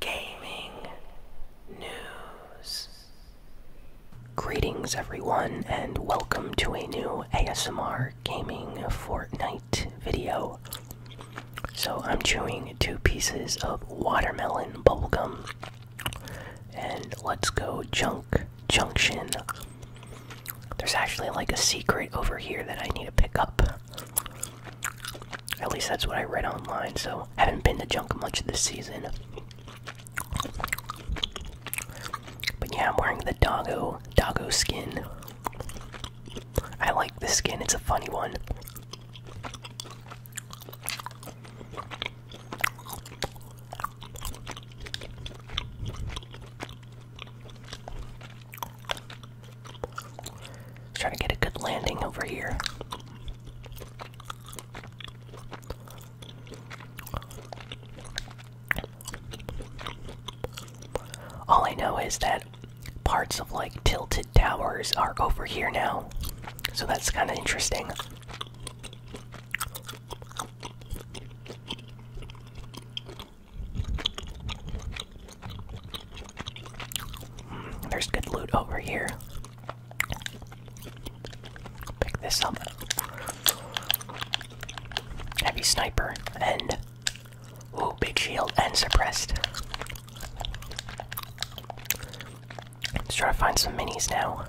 gaming news. Greetings, everyone, and welcome to a new ASMR gaming Fortnite video. So, I'm chewing two pieces of watermelon bubblegum, and let's go Junk Junction. There's actually like a secret over here that I need to pick up. At least that's what I read online, so haven't been to junk much this season. But yeah, I'm wearing the doggo doggo skin. I like the skin, it's a funny one. Trying to get a good landing over here. All I know is that parts of like tilted towers are over here now. So that's kind of interesting. Hmm, there's good loot over here. Pick this up. Heavy sniper and ooh, big shield and suppressed. Let's try to find some minis now.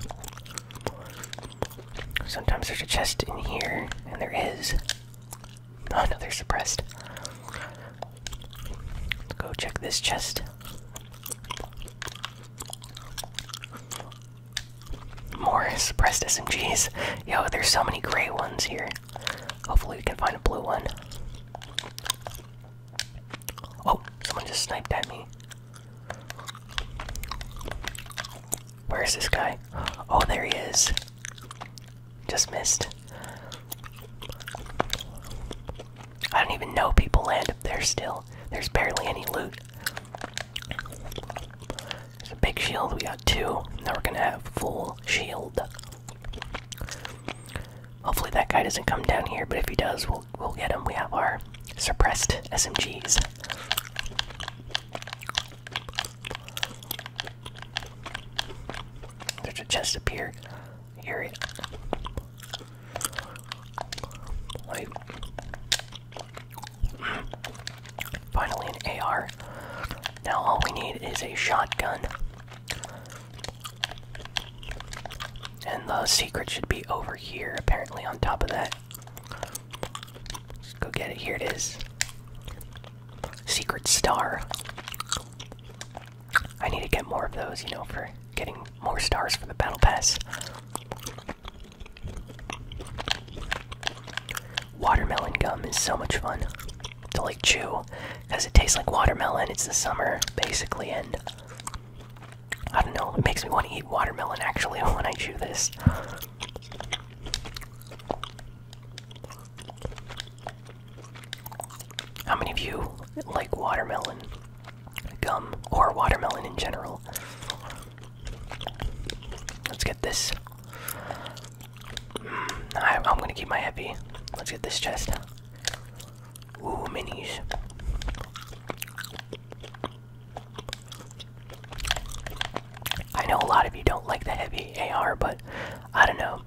Sometimes there's a chest in here, and there is. Oh no, they're suppressed. Go check this chest. More suppressed SMGs. Yo, there's so many gray ones here. Hopefully, we can find a blue one. Oh, someone just sniped at me. Where is this guy? Oh, there he is. Just missed. I don't even know people land up there still. There's barely any loot. There's a big shield, we got two. Now we're gonna have full shield. Hopefully that guy doesn't come down here, but if he does, we'll we'll get him. We have our suppressed SMGs. There's a chest up here. Here it. finally, an AR. Now, all we need is a shotgun. And the secret should be over here, apparently, on top of that. go get it. Here it is. Secret star. I need to get more of those, you know, for getting more stars for the battle pass. Watermelon gum is so much fun to like chew because it tastes like watermelon. It's the summer basically, and I don't know, it makes me want to eat watermelon actually when I chew this. How many of you like watermelon? gum or watermelon in general. Let's get this. Mm, I, I'm gonna keep my heavy. Let's get this chest. Ooh, minis. I know a lot of you don't like the heavy AR, but I don't know.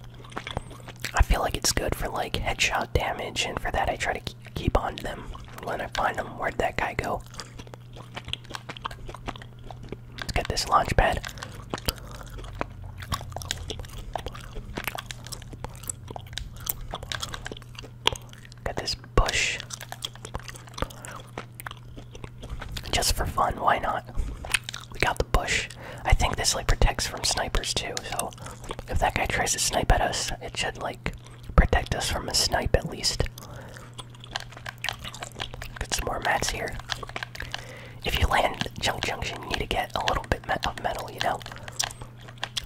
I feel like it's good for like headshot damage, and for that I try to keep on to them when I find them. Where'd that guy go? Let's get this launch pad. Got this bush. Just for fun, why not? We got the bush. I think this like protects from snipers too, so if that guy tries to snipe at us, it should like protect us from a snipe at least. Get some more mats here. If you land chunk Junction, you need to get a little bit of metal, you know?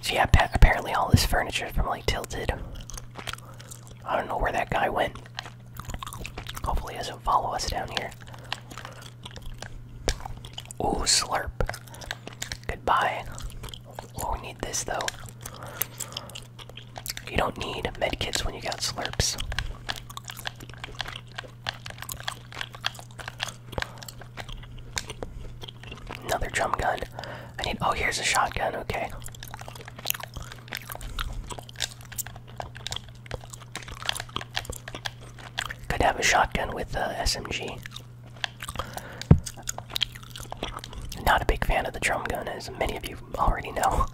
So yeah, apparently all this furniture is probably Tilted. I don't know where that guy went. Hopefully he doesn't follow us down here. Ooh, slurp. Goodbye. we need this though. You don't need medkits when you got slurps. Another drum gun. I need. Oh, here's a shotgun. Okay. Could have a shotgun with the uh, SMG. Not a big fan of the drum gun, as many of you already know.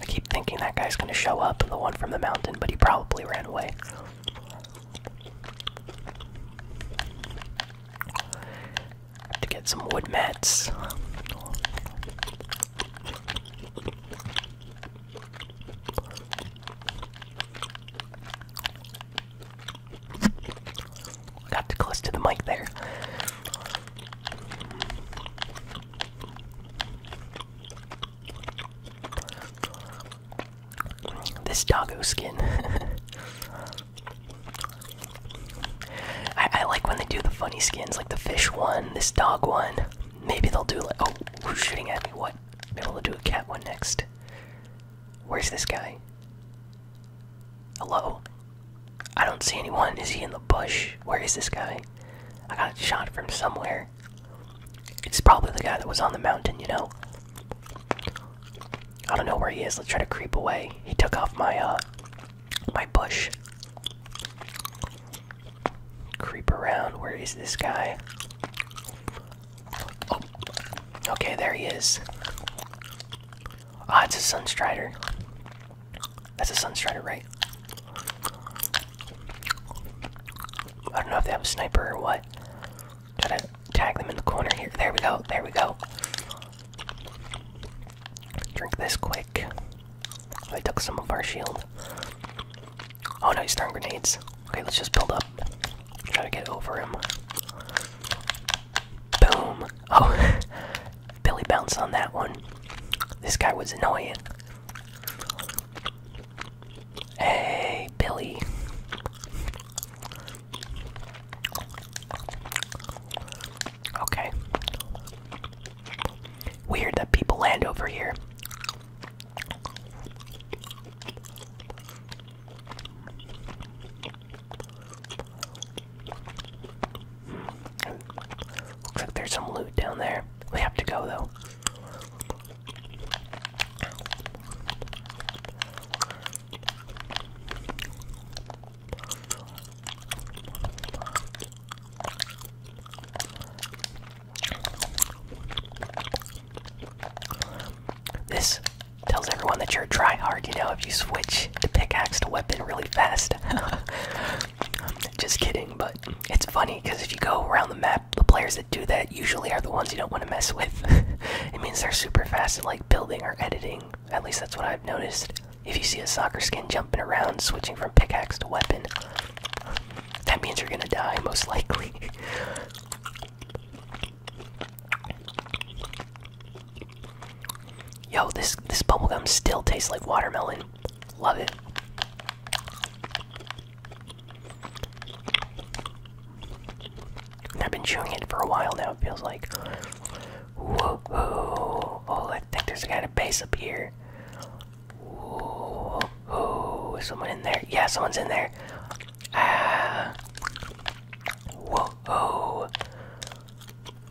I keep thinking that guy's gonna show up, the one from the mountain, but he probably ran away to get some wood mats. Got too close to the mic there. This doggo skin. I, like when they do the funny skins, like the fish one, this dog one. Maybe they'll do like. Oh, who's shooting at me? What? Maybe they'll do a cat one next. Where's this guy? Hello? I don't see anyone. Is he in the bush? Where is this guy? I got shot from somewhere. It's probably the guy that was on the mountain, you know? I don't know where he is. Let's try to creep away. He took off my, uh, my bush. Creep around. Where is this guy? Oh, okay, there he is. Ah, oh, it's a Sunstrider. That's a Sunstrider, right? I don't know if they have a sniper or what. Try to tag them in the corner here. There we go. There we go. Drink this quick. I took some of our shield. Oh no, he's throwing grenades. Okay, let's just build up. Try to get over him. Boom. Oh, Billy bounced on that one. This guy was annoying. Hey, Billy. Okay. Weird that people land over here. Looks like there's some loot down there. We have to go though. This tells everyone that you're a hard, you know, if you switch to pickaxe to weapon really fast. Just kidding, but it's funny because if you go around the map, the players that do that usually are the ones you don't want to mess with. it means they're super fast at like building or editing. At least that's what I've noticed. If you see a soccer skin jumping around, switching from pickaxe to weapon, that means you're gonna die, most likely. Yo, this this bubble gum still tastes like watermelon. Love it. I've been chewing it for a while now, it feels like. Oh, I think there's a guy in base up here. Whoa, someone in there? Yeah, someone's in there. Ah. Whoa, whoa.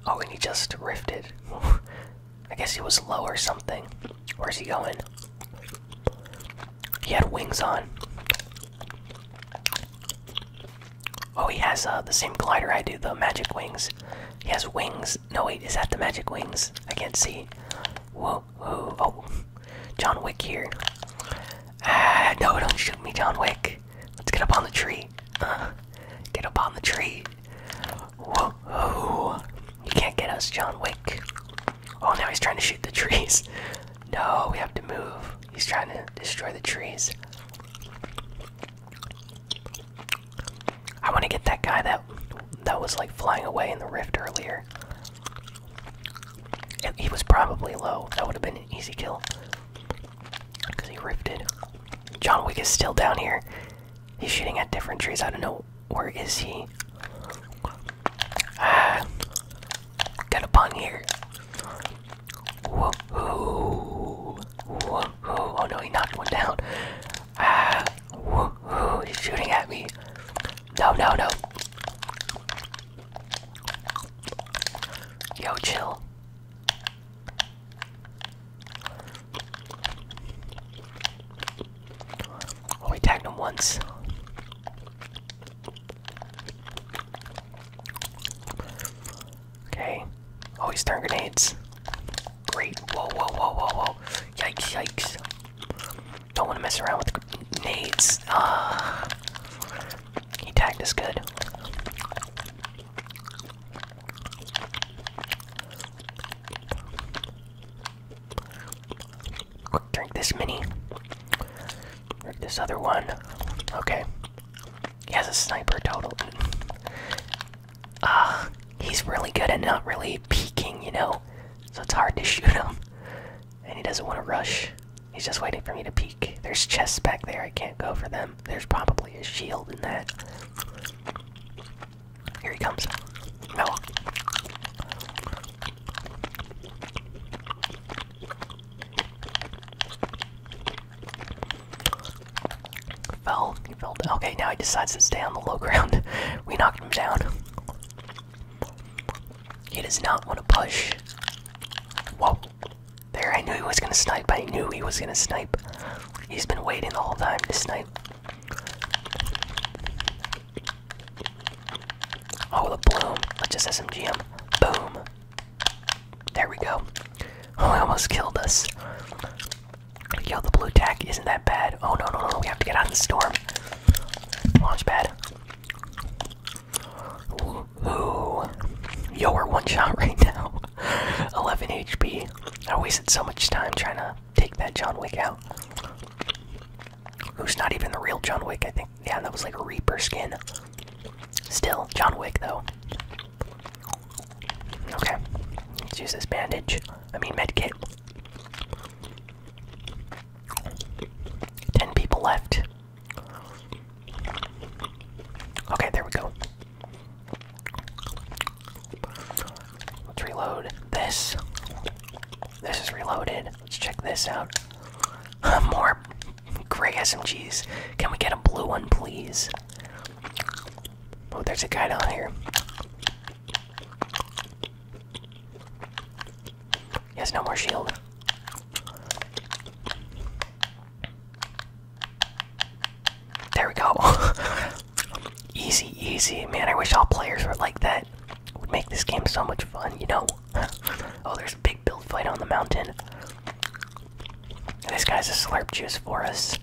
Oh, and he just rifted. I guess he was low or something. Where's he going? He had wings on. Oh, he has uh, the same glider I do, the magic wings. He has wings. No, wait, is that the magic wings? I can't see. Whoa, whoa, oh. John Wick here. Ah, no, don't shoot me, John Wick. Let's get up on the tree. get up on the tree. Whoa, whoa. You can't get us, John Wick. Oh, now he's trying to shoot the trees. No, we have to move. He's trying to destroy the trees. I want to get that guy that that was like flying away in the rift earlier. he was probably low. That would have been an easy kill. Because he rifted. John Wick is still down here. He's shooting at different trees. I don't know where is he. Ah, got a pun here. Oh no, he knocked one down. Ah! He's shooting at me. No, no, no. Yo, chill. we oh, tagged him once. Okay. Always oh, he's grenades. Great. Whoa, whoa, whoa, whoa, whoa. Yikes, yikes. Don't want to mess around with grenades. Ah. He tagged us good. Drink this mini. Drink this other one. Okay. He has a sniper total. Ah, he's really good at not really peeking, you know, so it's hard to shoot him. And he doesn't want to rush. He's just waiting for me to peek. There's chests back there. I can't go for them. There's probably a shield in that. Here he comes. No. Fell, he fell Okay, now he decides to stay on the low ground. we knocked him down. He does not want to push. Whoa. There, I knew he was gonna snipe. I knew he was gonna snipe. He's been waiting the whole time to snipe. Oh, the bloom. Let's just SMGm. Boom. There we go. Oh, he almost killed us. Yo, the blue tack isn't that bad. Oh no, no, no, we have to get out of the storm. Launch pad. Ooh. Yo, we're one shot right now. 11 HP. I wasted so much time trying to take that John Wick out. Who's not even the real John Wick, I think. Yeah, that was like a Reaper skin. Still, John Wick, though. Okay, let's use this bandage. I mean, medkit. Ten people left. Okay, there we go. Let's reload this. This is reloaded. Let's check this out. More gray SMGs. Can we get a blue one, please? Oh, there's a guy down here. He has no more shield. There we go. easy, easy. Man, I wish all players were like that. would make this game so much fun, you know? oh, there's a big build fight on the mountain. This guy's a slurp juice for us.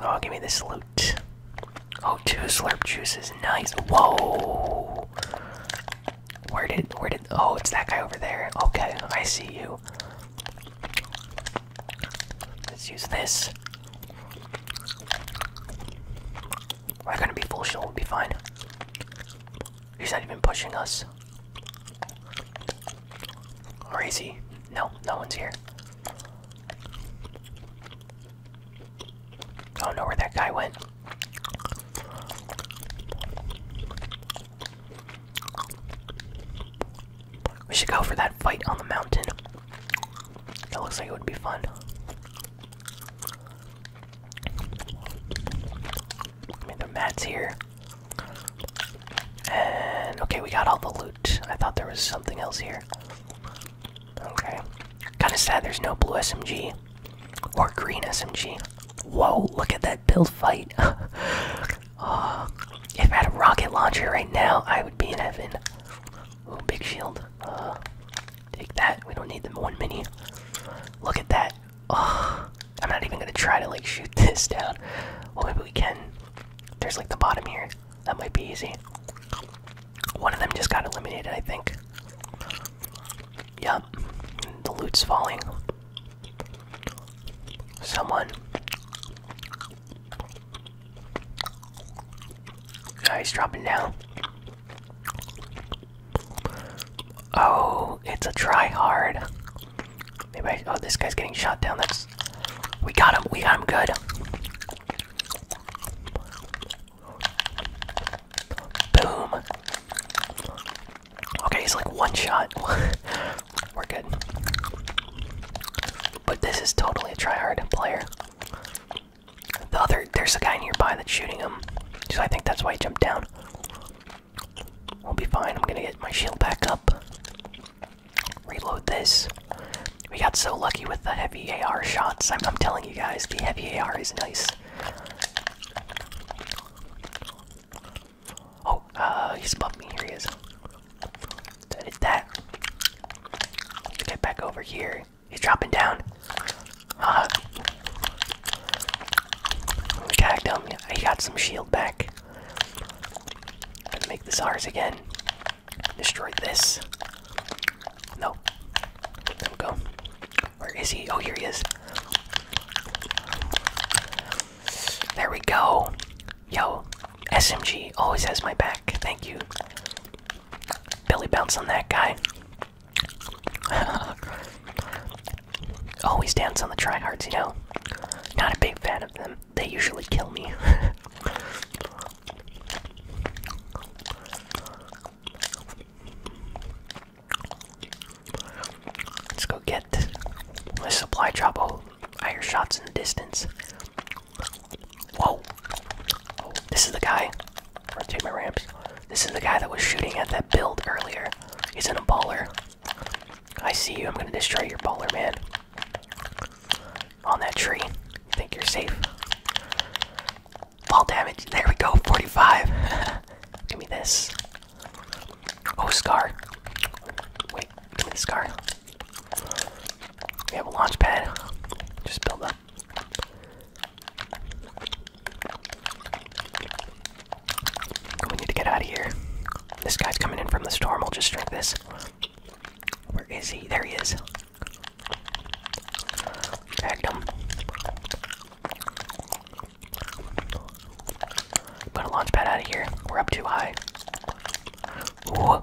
Oh, give me this loot. Oh, two slurp juices. Nice. Whoa. Where did where did oh it's that guy over there. Okay, I see you. Let's use this. We're gonna be full shield, we'll be fine. He's not even pushing us. Or is he? No, no one's here. I don't know where that guy went. We should go for that fight on the mountain. That looks like it would be fun. I mean, the mat's here. And okay, we got all the loot. I thought there was something else here. Okay. Kinda sad there's no blue SMG. Or green SMG. Whoa, look at that build fight. uh, if I had a rocket launcher right now, I would be in heaven. Oh, big shield. Uh, take that. We don't need the one mini. Look at that. Oh, I'm not even gonna try to like shoot this down. Well, maybe we can. There's like the bottom here. That might be easy. One of them just got eliminated, I think. Yup. The loot's falling. Someone. Guy's dropping down. Oh, it's a try hard. Maybe I, oh, this guy's getting shot down. That's we got him. We got him good. Boom. Okay, he's like one shot. We're good. But this is totally a try hard player. The other, there's a guy nearby that's shooting him, so I think that's why he jumped down. We'll be fine. I'm gonna get my shield back up. Reload this. We got so lucky with the heavy AR shots. I'm, telling you guys, the heavy AR is nice. Oh, uh, he's above me. Here he is. So I did that. Get back over here. He's dropping down. Uh, tagged him. He got some shield back. Gonna make this ours again. Destroy this. No. There we go. Where is he? Oh, here he is. There we go. Yo, SMG always has my back. Thank you. Belly bounce on that guy. Always dance on the tryhards, you know? Not a big fan of them. They usually kill me. Let's go get my supply drop. Oh, I hear shots in the distance. Whoa. this is the guy. take my ramps. This is the guy that was shooting at that build earlier. He's in a baller. I see you. I'm gonna destroy your baller, man. On that tree. Think you're safe. Fall damage. There we go. 45. give me this. Oh, Scar. Wait. Give me the Scar. We have a launch pad. Just build up. We need to get out of here. This guy's coming in from the storm. We'll just drink this. Where is he? There he is. Dragged him. Put a launch pad out of here. We're up too high. Ooh,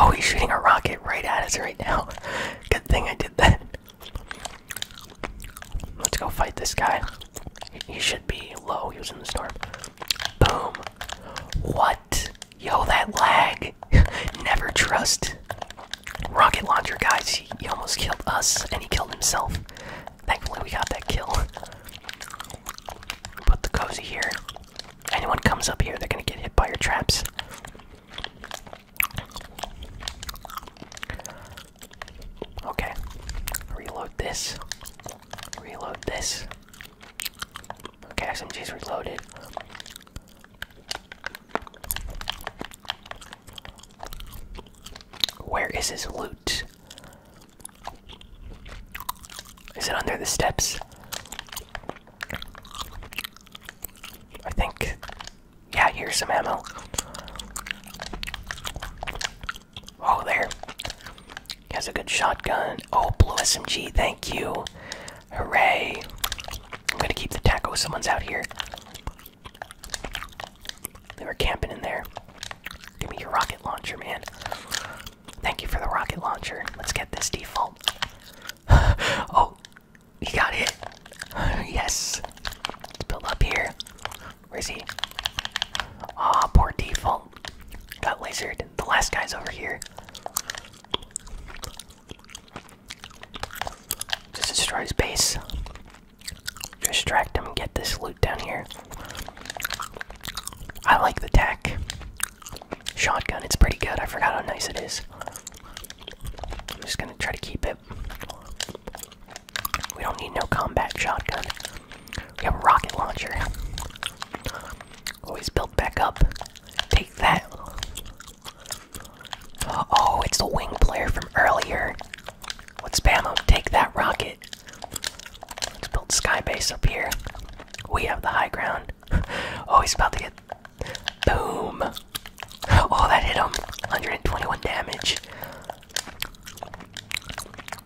Oh, he's shooting a rocket right at us right now. Good thing I did that. Let's go fight this guy. He should be low. He was in the storm. Boom. What? Yo, that lag. Never trust. Rocket launcher, guys. He, he almost killed us, and he killed himself. Thankfully, we got that kill. Put the cozy here. Anyone comes up here, they're gonna get hit by your traps. Okay. Reload this. Reload this. Okay, SMG's reloaded. Where is his loot? Is it under the steps? I think yeah, here's some ammo. Oh, there. He has a good shotgun. Oh, blue SMG, thank you. Hooray. I'm gonna keep the taco, someone's out here. They were camping in there. Give me your rocket launcher, man. Thank you for the rocket launcher. Let's get this default. oh, you got it. yes. Let's build up here. Where is he? Aw, oh, poor default. Got lasered. The last guy's over here. Just destroy his base. Distract him and get this loot down here. I like the tech Shotgun, it's pretty good. I forgot how nice it is. I'm just gonna try to keep it. We don't need no combat shotgun. We have a rocket launcher. Always built back up. Take that. Oh, it's the wing player from earlier. Let's spam him. Take that rocket. Let's build sky base up here. We have the high ground. Oh, he's about to get. Boom! Oh, that hit him. 121 damage.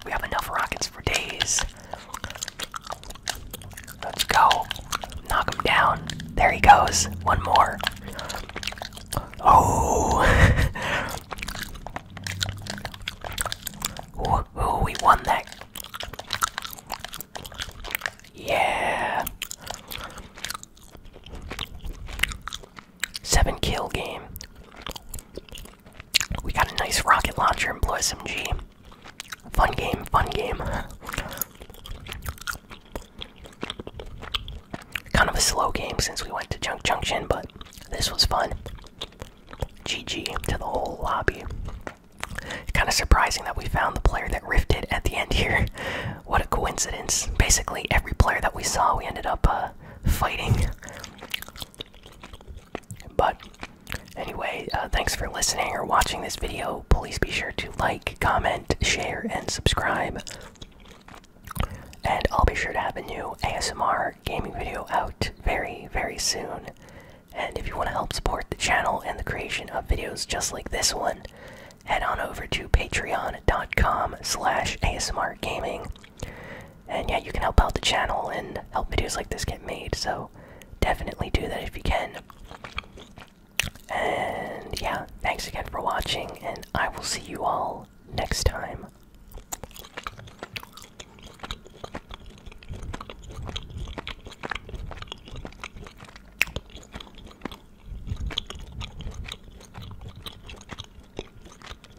We have enough rockets for days. Let's go. Knock him down. There he goes. One more. Oh. ooh, we won that. Yeah seven kill game. We got a nice rocket launcher and blue SMG. Fun game, fun game. Kind of a slow game since we went to Junk Junction, but this was fun. GG to the whole lobby. Kind of surprising that we found the player that rifted at the end here. What a coincidence. Basically, every player that we saw, we ended up uh, fighting. But anyway, uh, thanks for listening or watching this video. Please be sure to like, comment, share, and subscribe. And I'll be sure to have a new ASMR gaming video out very, very soon. And if you want to help support the channel and the creation of videos just like this one, head on over to patreon.com slash asmrgaming and yeah, you can help out the channel and help videos like this get made, so definitely do that if you can. And yeah, thanks again for watching, and I will see you all next time.